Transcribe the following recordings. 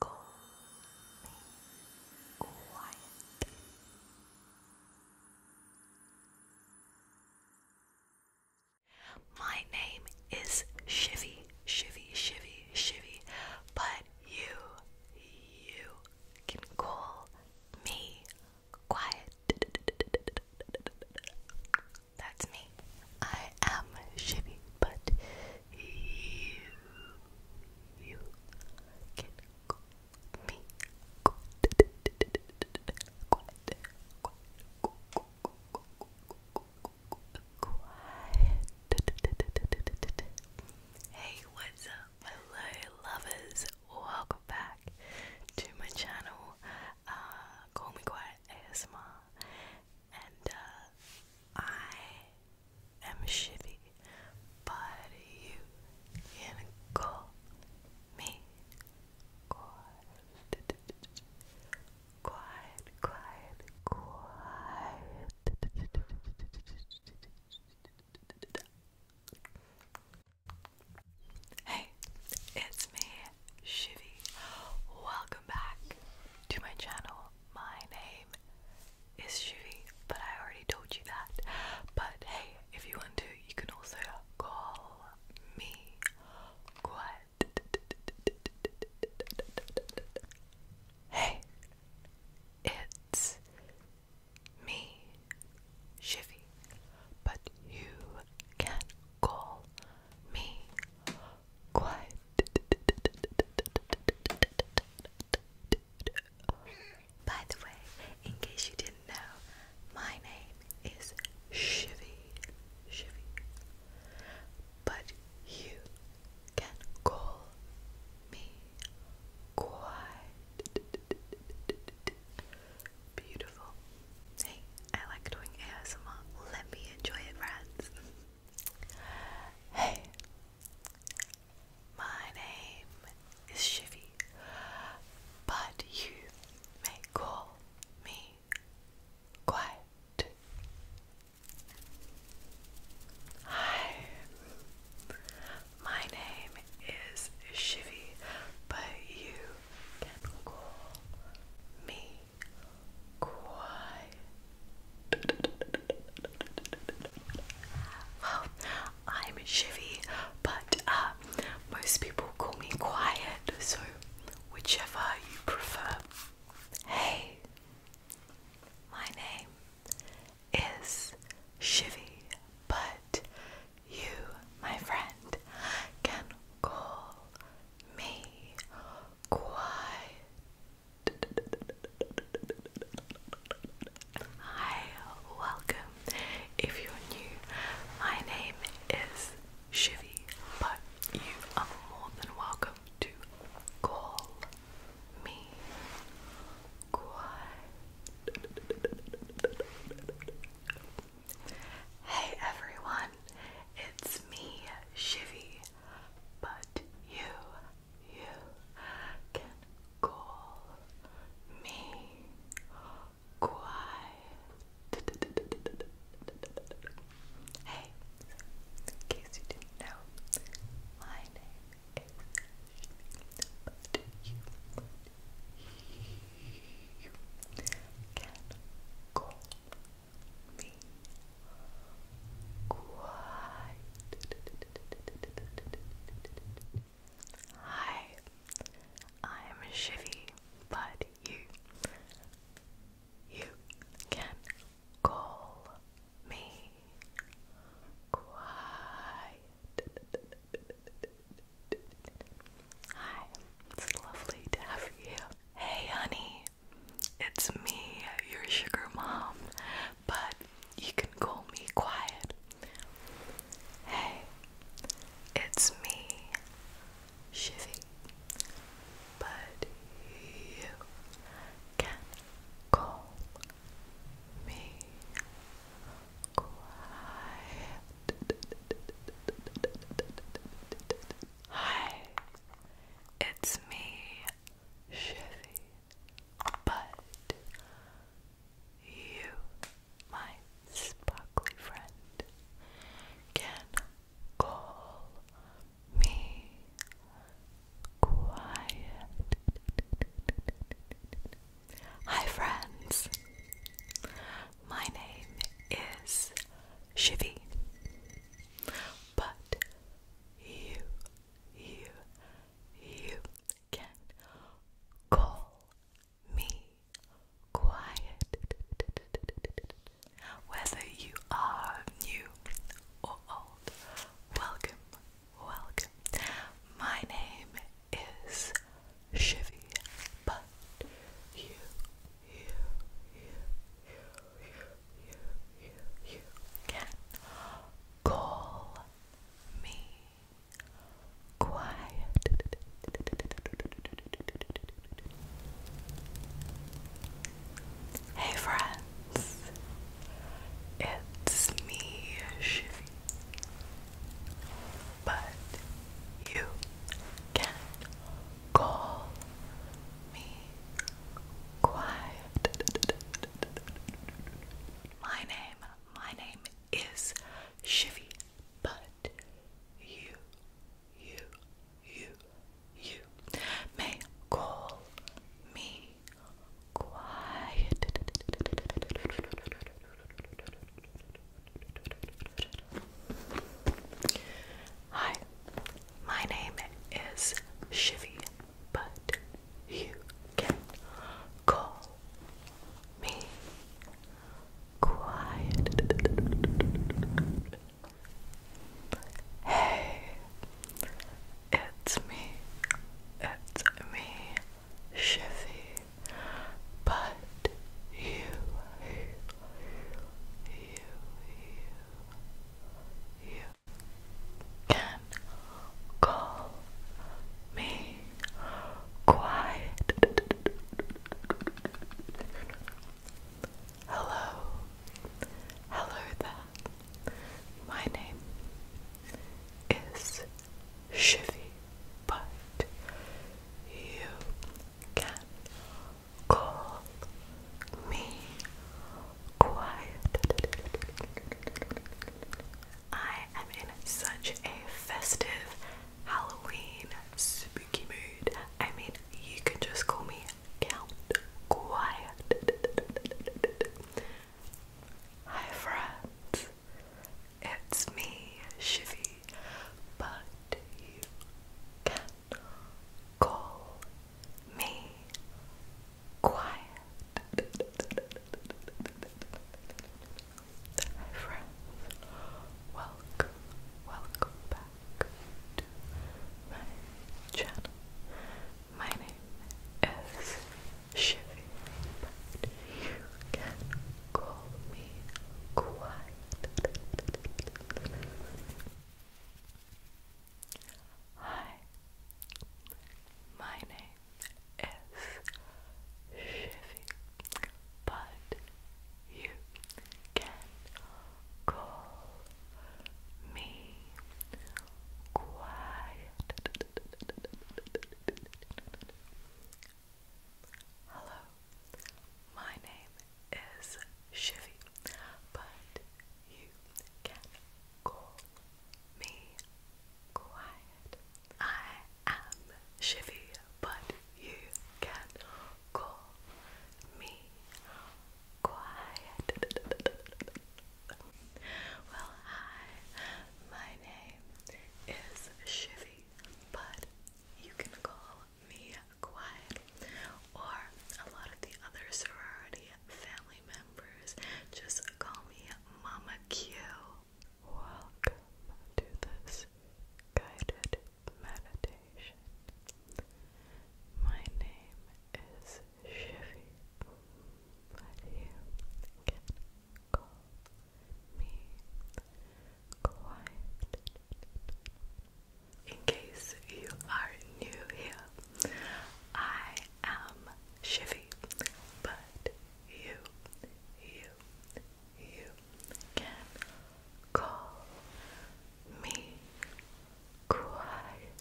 calmly, quietly. My name is Shivy, Shivy, Shivy, Shivy, but you, you can call me quiet. That's me. I am Shibby, but you, you can call me Quad. Quad. Quad. Hey, what's up, my lovers? Welcome back to my channel. Uh, call me Quiet ASMR and uh, I am shifty, but you can call me quiet, quiet, quiet. Hey, it's me, Shivy. Welcome back to my channel. My name is Shivy, but I already told you that. But hey, if you want to, you can also call me Quad. Hey, it's me, Shivy, but you can call me quiet. By the way, in case you didn't know, my name is Shivy. Shivy. But you can call me quiet beautiful. Hey, I like doing ASMR. Let me enjoy it, friends. hey, my name is Shivy, but you may call me Quiet. Hi, my name is Shivy, but you call me quiet. Well, I'm Shivy, but uh, most people call me quiet, so whichever you prefer. Hey, my name is Shivy, but you, my friend, can call me quiet. Hi, welcome. If you're new, my name is Shivy, but you are more than welcome to call me quiet. Hey everyone, it's me, Shivy, but you, you can call me Quiet. Hey, in case you didn't know, my name is Shivy, but you you can call me quite. Hi, I'm Shivy, but you, you can call me quiet. Hi, it's lovely to have you. Hey, honey, it's me, your sugar mom, but you can call me Quiet. Hey, it's me, Shivy, but you can call me quiet. Hi, it's me, Chevy, but you, my sparkly friend, can call me quiet. Hi, friends. My name is Shivy, but you, you, you can call me quiet. Whether you are new or old, welcome welcome. My name is Shivy, but you, you, you, you, you, you, you can call me quiet. Hey friends, it's me, Shivy. But you can call me quiet. My name, my name is Shivy, but you, you, you, you may call me quiet. Hi, my name is Shivy, but you can call me quiet. Hey, it's me, it's me, Shifty. but you, you, you, you, you can call me quiet. Hello, hello there. My name is Shivy, but you can call me Quiet. I am in such a festive Halloween spooky mood. I mean, you can just call me count quiet. Hi friends, it's me, Shivy, but you can call me quiet. friends, welcome, welcome back to my channel. My name is Shivy, but you can call me Quiet. Hi, my name is Shivy, but you can call me quiet. Hello, my name is Shivy, but you can call me quiet. I am Shivy, but you can call me quiet. well, hi, my name is Shivy, but you can call me Quiet or a lot of the other sorority family members just call me Mama Q. Welcome to this guided meditation. My name is Shivy, but you can call me Quiet. In case you are new here, I am Shivy, but you, you, you can Call me quiet.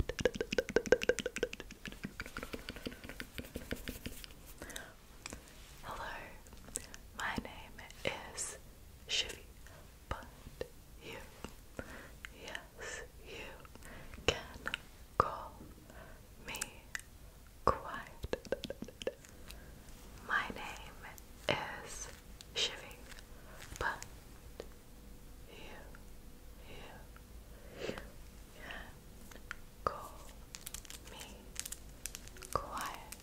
Hello, my name is Shivy, but you, yes, you can call me quiet. My name is shiving, but you, you can call me quiet.